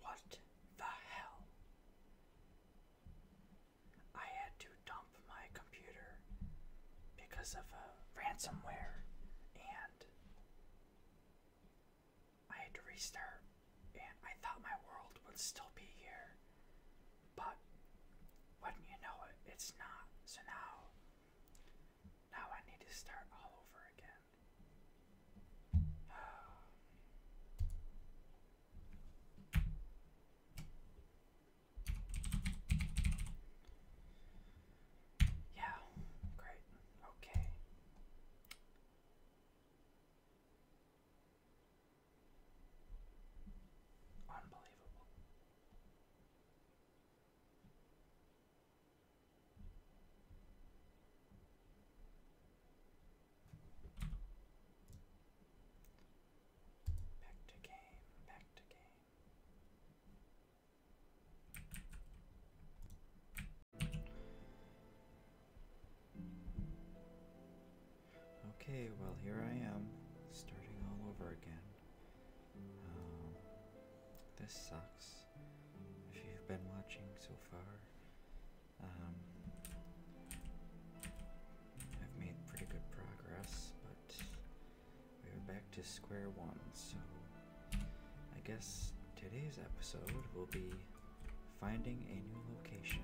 What the hell? I had to dump my computer because of a ransomware and I had to restart and I thought my world would still be here. But would you know it, it's not. So now now I need to start all over again. Yeah, great. Okay. Unbelievable. Back to game, back to game. Okay, well, here I am, starting all over again. Um, this sucks if you've been watching so far. Um, I've made pretty good progress, but we are back to square one, so I guess today's episode will be finding a new location.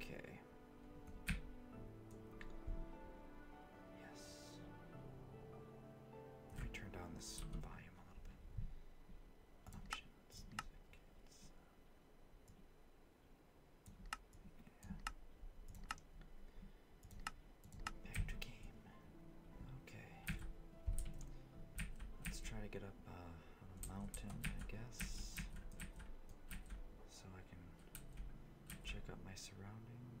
Okay. Yes. Let me turn down this volume a little bit. Options, Back to game. Okay. Let's try to get up uh, on a mountain, I guess. So I can check out my surroundings.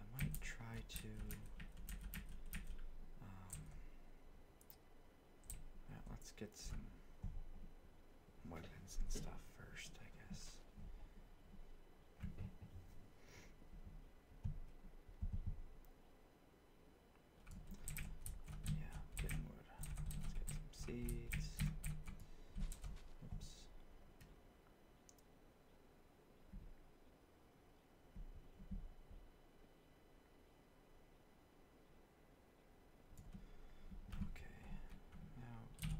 I might try to. Um, let's get some weapons and stuff first, I guess. Yeah, getting wood. Let's get some seeds. Oops. Okay, now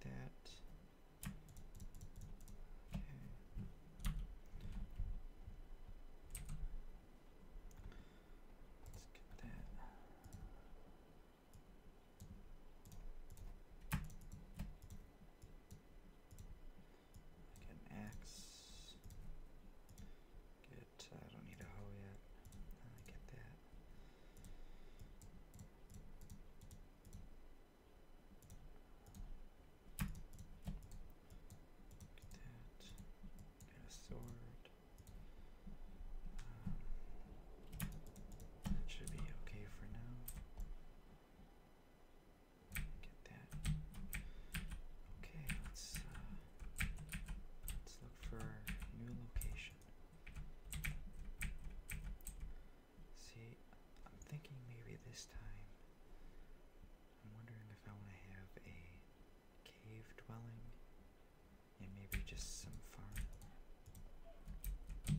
that. Okay. Get an axe. Get, uh, I don't need a hoe yet. Uh, get that. Get that. Get a sword that should be okay for now. Get that. Okay, let's uh, let's look for new location. See, I'm thinking maybe this time. I'm wondering if I want to have a cave dwelling and maybe just some farm. Um,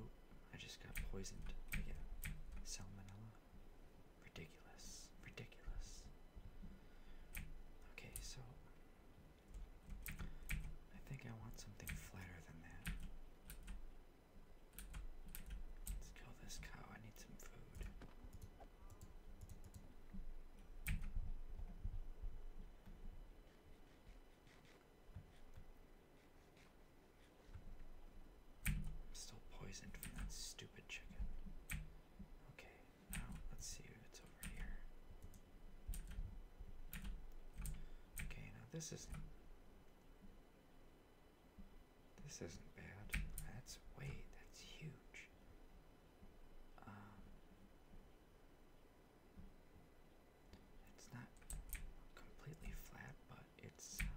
oh, I just got poisoned again. Salmonella. Ridiculous. Ridiculous. Okay, so I think I want something flatter than that. Let's kill this cow. I need some food. I'm still poisoned from that stupid chicken. Okay, now let's see if it's over here. Okay, now this is this isn't bad. That's way, that's huge. Um, it's not completely flat, but it's uh,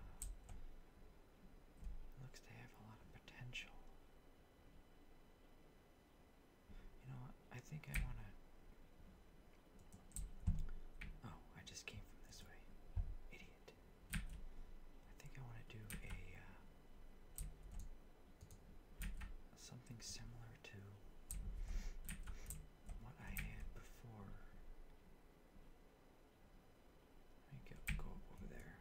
looks to have a lot of potential. You know what? I think I want to. Oh, I just came from this way. Idiot. I think I want to do a uh, something similar to what I had before. Let me go, go up over there.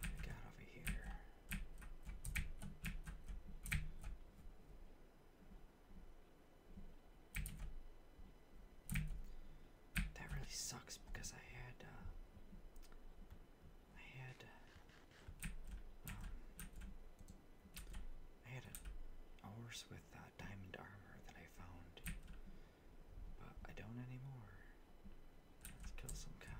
What got over here? That really sucks because I had uh, I had uh, I had a, horse with uh, diamond armor that I found, but I don't anymore. Let's kill some cows.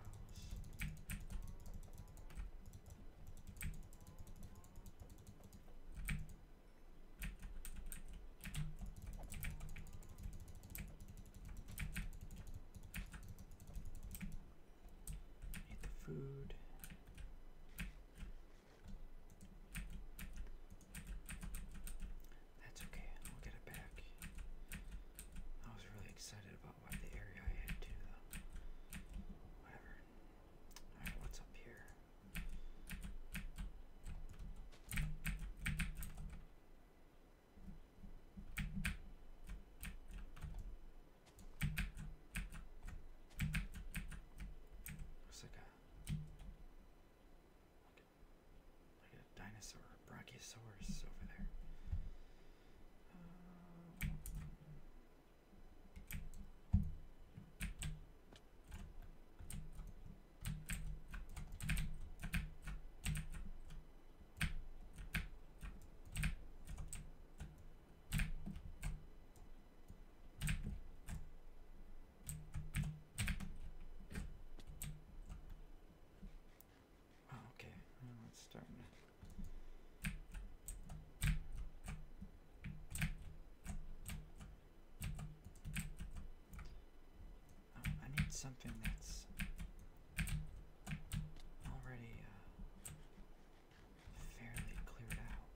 Eat the food. That's okay, I'll get it back. I was really excited about what the area I had to, though. Whatever. Alright, what's up here? Looks like a, like a dinosaur, a brachiosaurus over there. Oh, okay, let's start. Oh, I need something that's already uh, fairly cleared out,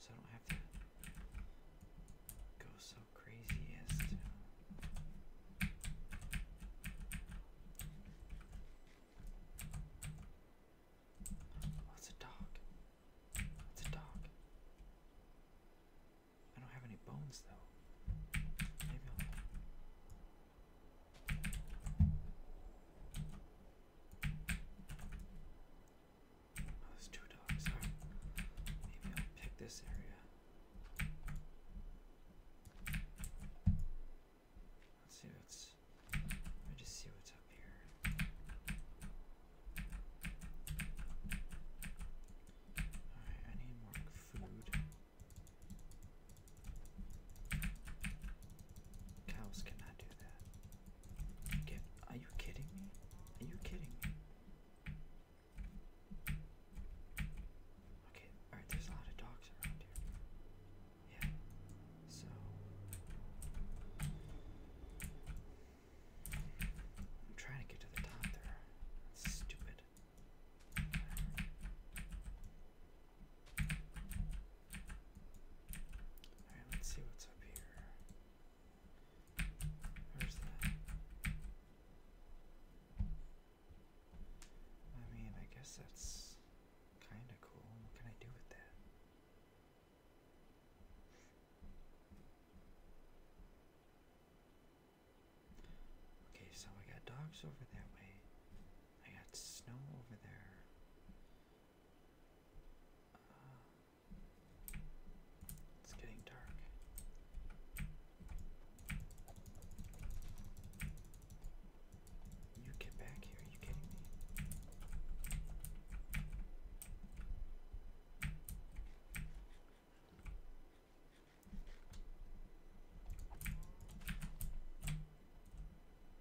so I don't have to go so crazy as to Oh, a dog. It's a dog. I don't have any bones though. Maybe Oh, there's two dogs. Alright. Maybe I'll pick this area. Let's see what's. Let me just see what's up here. Alright, I need more food. Cows cannot do that. are you kidding me? Are you kidding me? Okay, alright, there's a lot of dogs around here. Yeah, so. I'm trying to get to the top there. stupid. Alright, let's see what's up here. Where's that? I mean, I guess that's kinda cool. What can I do with that? Okay, so I got dogs over that way. I got snow over there. Uh, it's getting dark. You get back here, you kidding me?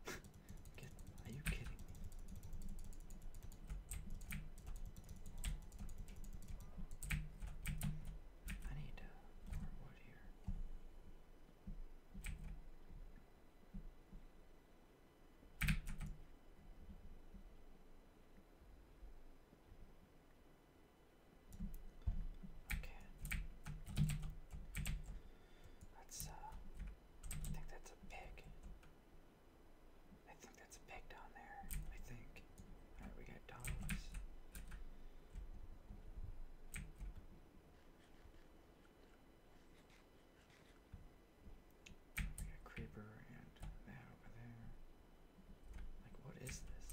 are you kidding me? I need more wood here. Okay. That's, uh, I think that's a pig. I think that's a pig down there. I think. Alright, we got dogs. We got creeper and that over there. Like, what is this?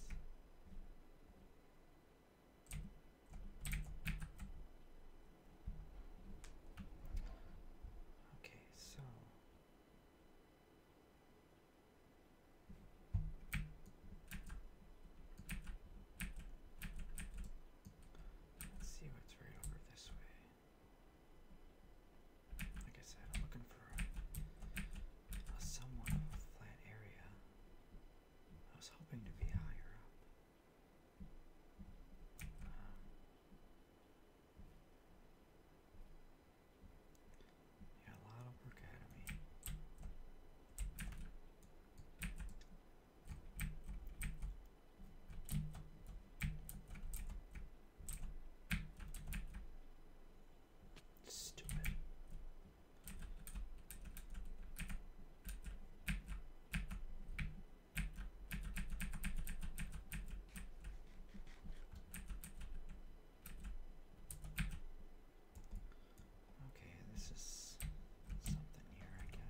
Okay, so let's see what's right over this way. Like I said, I'm looking for a, somewhat flat area. I was hoping to be higher up. Um, yeah, a lot of work ahead of me. Stupid. Okay, this is something here, I guess.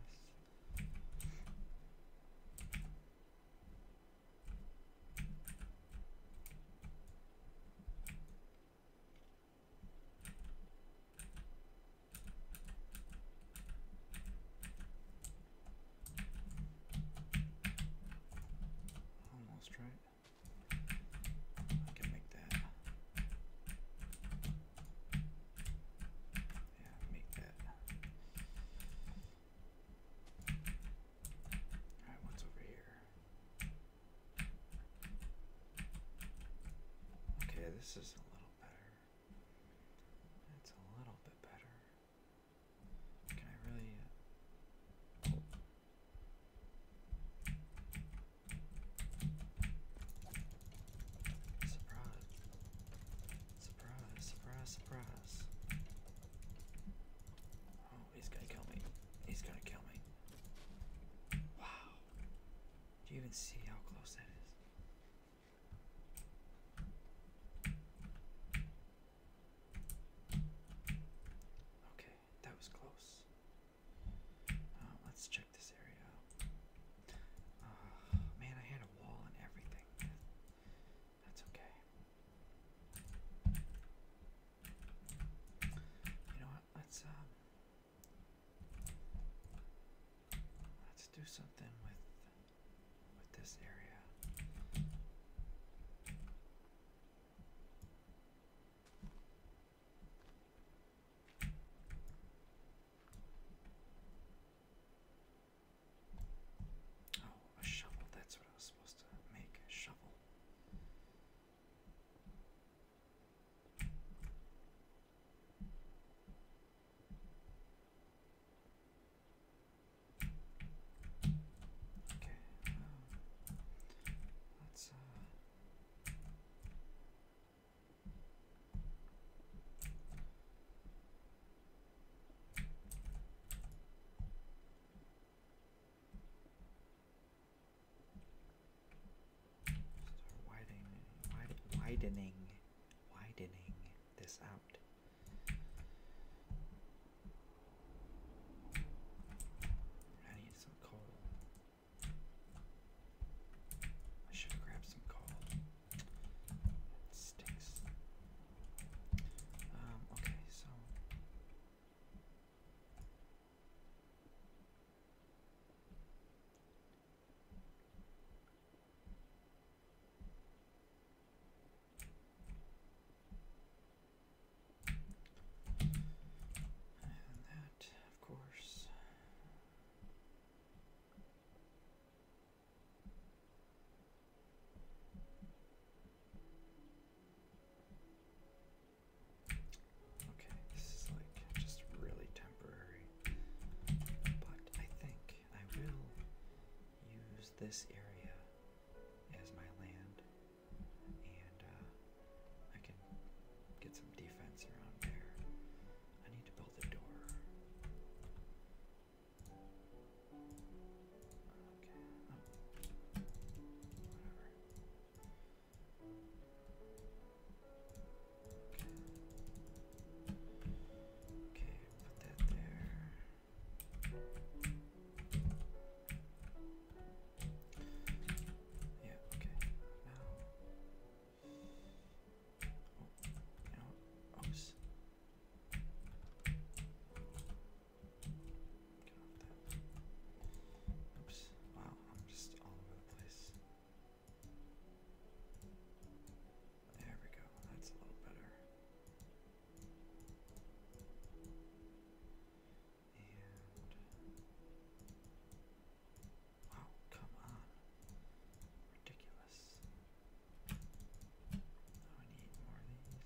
Almost right. I can make that. Yeah, make that. Alright, what's over here? Okay, this is a little better. That's a little bit better. Can I really? Uh, surprise! Surprise! Surprise! Surprise! Oh, he's gonna kill me! He's gonna kill me! Wow! Do you even see how close that is? Okay, that was close. Uh, let's check this area ah, man, I had a wall and everything. That's okay. You know what? Let's um Let's do something with with this area. Oh, a shovel. That's what I was supposed to make. A shovel. Okay, um, let's uh Okay widening, widening, widening this out. I need some coal. I should have some coal. stinks. Um, okay, so that, of course. Okay, this is like just really temporary. But I think I will use this area as my land. And uh, I can get some defense around there. I need to build a door. Okay. Oh, whatever. Okay, put that there. Yeah, okay. Now. Oh, you know, oops. Get off that. Oops, wow. I'm just all over the place. There we go. That's a little better. And wow, come on. Ridiculous. I need more of these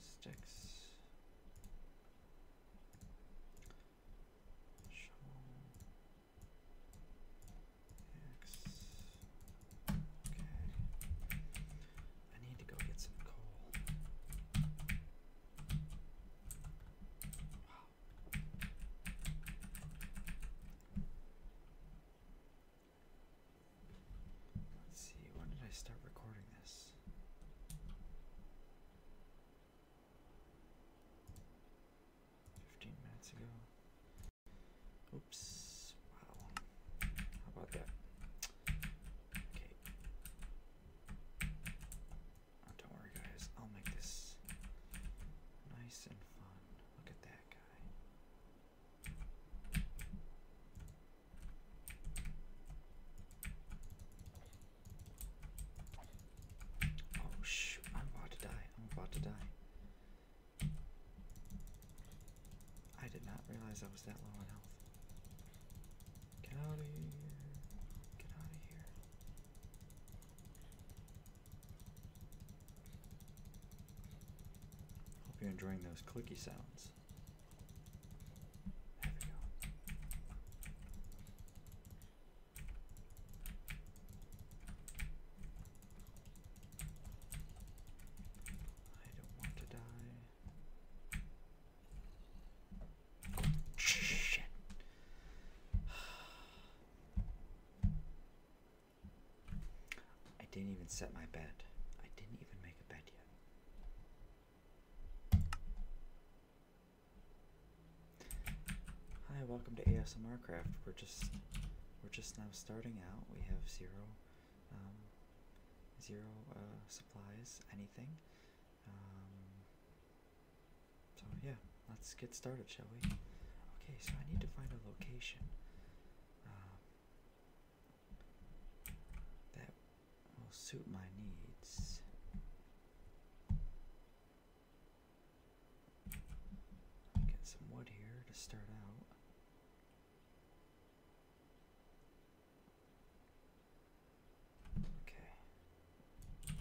sticks. Shovel. X. Okay. I need to go get some coal. Let's see, when did I start recording this? Fifteen minutes ago. Oops. Wow. How about that? Okay. Oh, don't worry, guys. I'll make this nice and fun. Look at that guy. Oh shoot, I'm about to die. I'm about to die. I did not realize I was that low on health. Get out of here. Get out of here. Hope you're enjoying those clicky sounds. I don't want to die. Shit. I didn't even set my bed. I didn't even make a bed yet. Hi, welcome to ASMR Craft. We're just we're just now starting out. We have zero um, zero uh, supplies, anything. Um, so yeah, let's get started, shall we? Okay, so I need to find a location. Uh, that will suit my needs. Get some wood here to start out. Okay.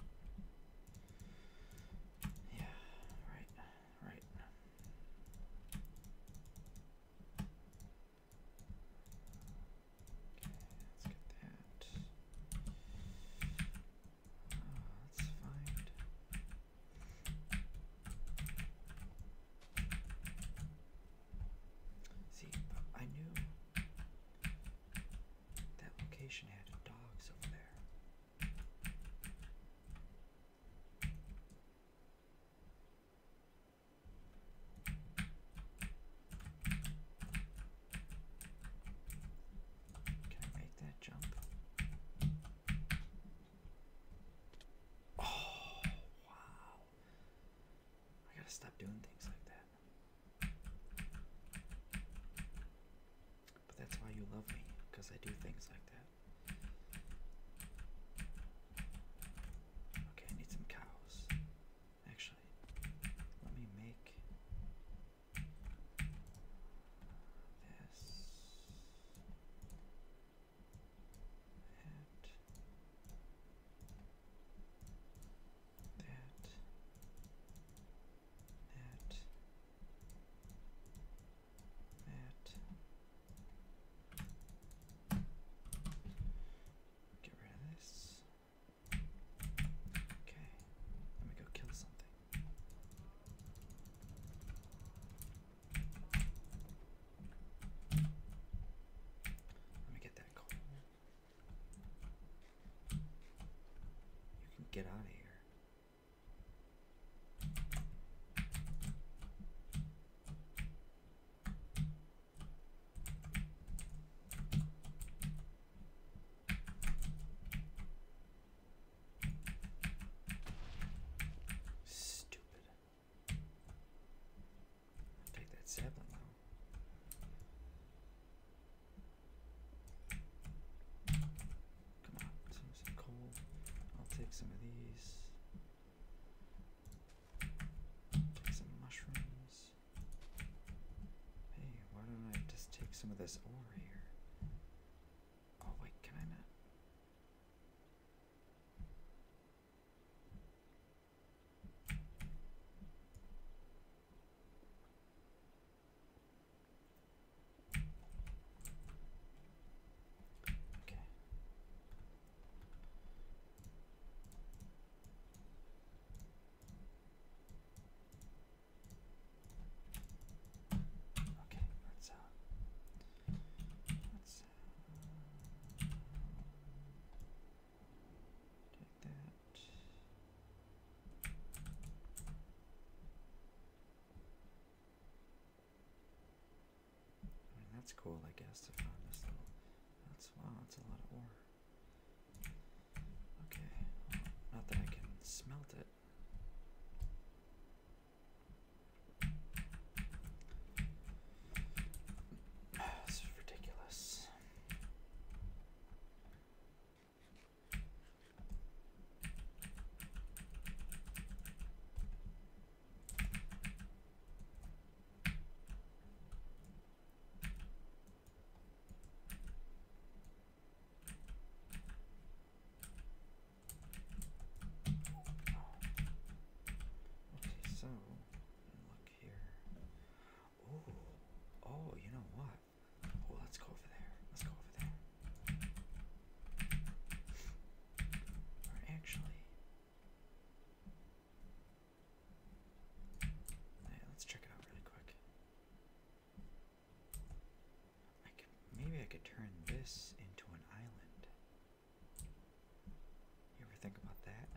Yeah, right, right let's get that. let's oh, find. See, I knew that location had dogs over there. Can I make that jump? Oh, wow. I gotta stop doing things like that. But that's why you love me, because I do things like that. Okay, I need some cows. Actually, let me make this. That. That. That. That. Get rid of this. Okay, let me go kill something. Let me get that coal. You can get out of here. Stupid. take that sapling though. Come on, some, some coal. I'll take some of these. Take some mushrooms. Hey, why don't I just take some of this ore here? Oh, wait, can I not? Okay. Okay, let's uh let's uh, take that that's cool, I guess, to find this little. That's wow, that's a lot of ore. Okay, not that I can smelt it. This is ridiculous. Okay, so look here. Oh, oh, you know what? Oh, let's go over there. Let's go over there. Or actually, let's check out really quick. maybe I could turn this into an island. You ever think about that?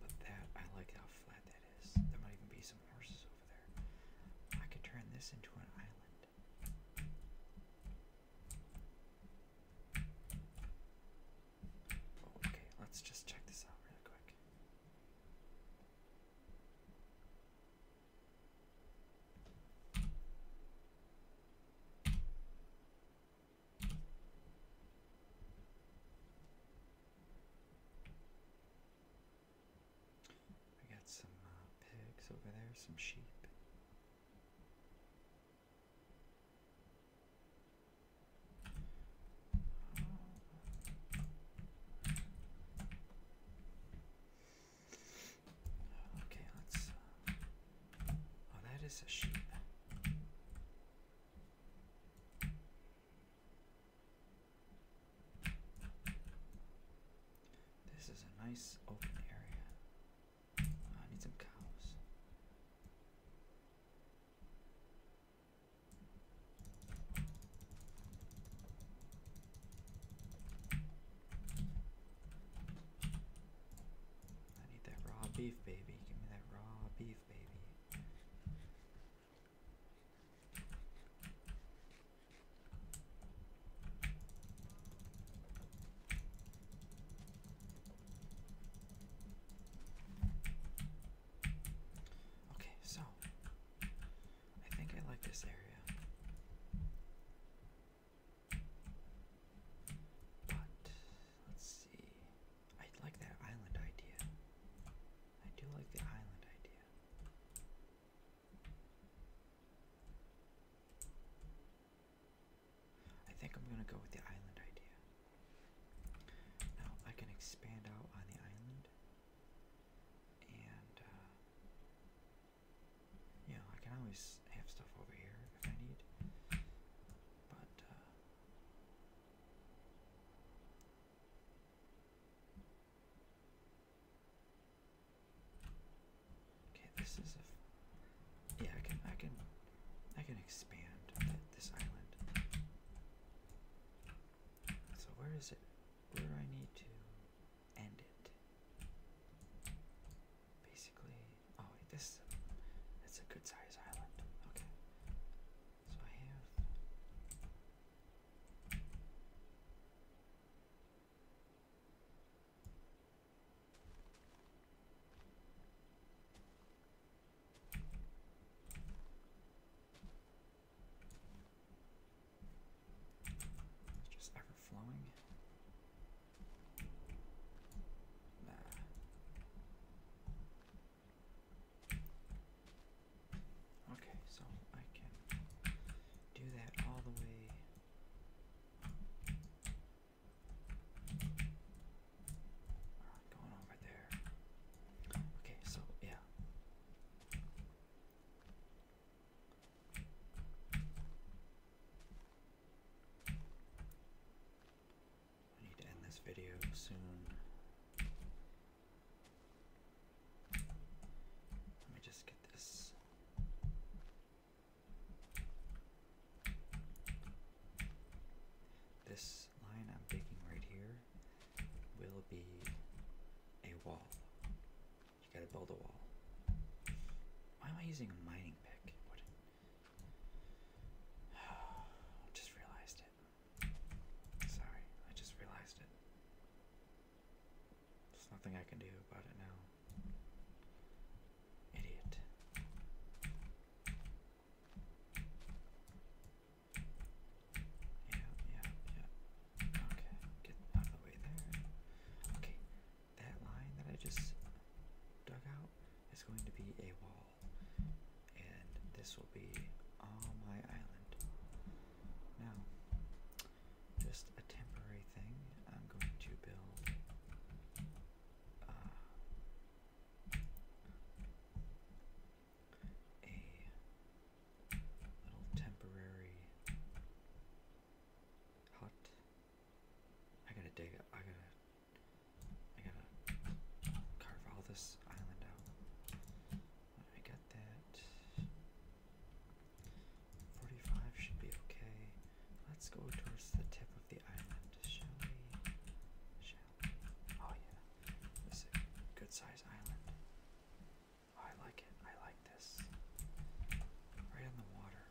But that, I like how flat that is. There might even be some horses over there. I could turn this into an island. Okay, let's just check this out really quick. We got some uh, pigs over there, some sheep, Okay, let's. Uh, oh, that is a sheep. This is a nice open area. Ah, I need some cows. I need that raw beef, baby. Give me that raw beef, baby. Okay, so I think I like this area. But let's see. I like that island idea. I do like the island idea. I think I'm gonna go with the island idea. Now I can expand out on the island, and uh, you know I can always have stuff over here if I need. But uh, Okay, this is a. Yeah, I can, I can, I can expand this island. So where is it? Where do I need to end it? Basically, oh wait, this. That's a good size island. Okay, so I have. It's just ever flowing. Okay, so I can do that all the way Alright, going over there. Okay, so yeah. I need to end this video soon. Let me just get this this line I'm taking right here will be a wall. You gotta build a wall. Why am I using a mining pick? What? just realized it. Sorry, I just realized it. There's nothing I can do about it now. Idiot. Yeah, yeah, yeah. Okay, get out of the way there. Okay, that line that I just dug out is going to be a wall. And this will be all my island. Now, just a temporary thing. I'm going to build uh, a little temporary hut. I gotta dig up. I gotta. I gotta carve all this island out. I got that. 45 should be okay. Let's go towards the tip of the island, shall we? Shall we? Oh, yeah. This is a good size island. Oh, I like it. I like this. Right on the water.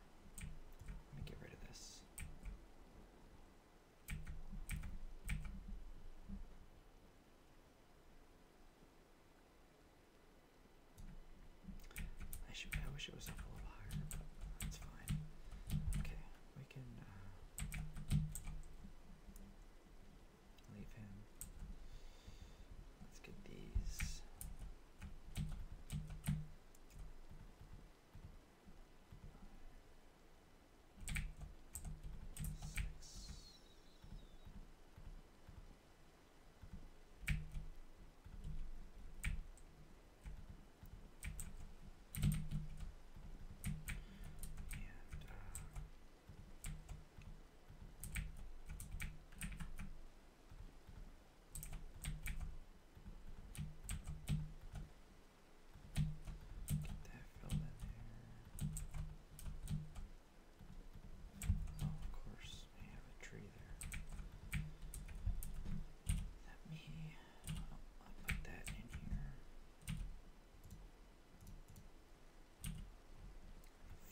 Let me get rid of this. I should. I wish it was up a little higher, but that's fine. Okay, we can uh, leave him. Let's get these. Six. And, uh, Get that filled in there of course, I have a tree there. Let me. I'll put that in here.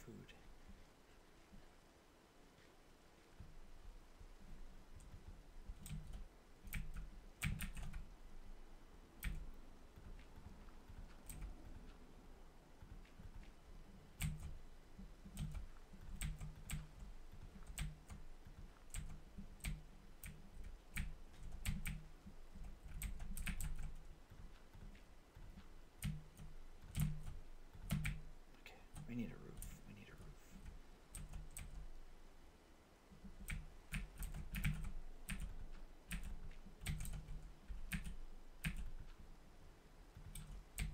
Food. Okay, we need a roof. We need a roof. Come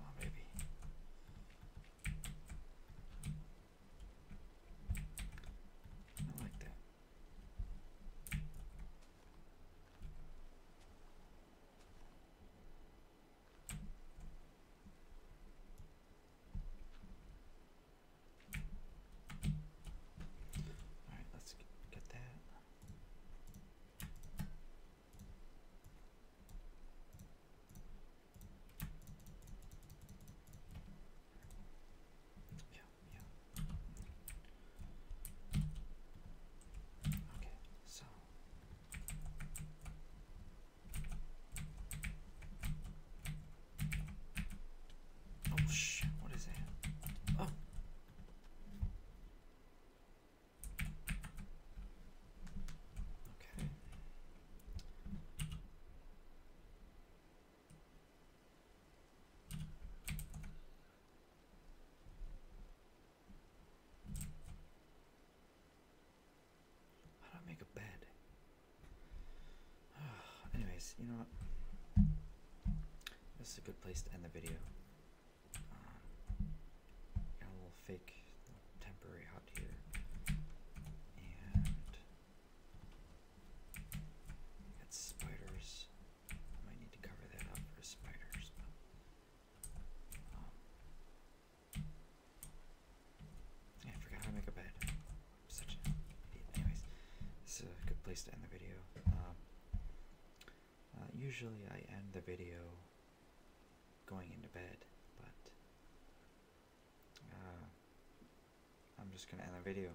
on, baby. I like that. All right, let's get, that. Yeah, yeah. Okay, so Oh shit, what is that? Oh. Okay. How do I make a bed? Anyways, you know what? This is a good place to end the video. Um, got a little fake temporary hut here. And got spiders. might need to cover that up for spiders. Oh. I forgot how to make a bed. such a idiot. Anyways, this is a good place to end the video. Um, uh, usually I end the video going into bed, but uh, I'm just gonna end the video.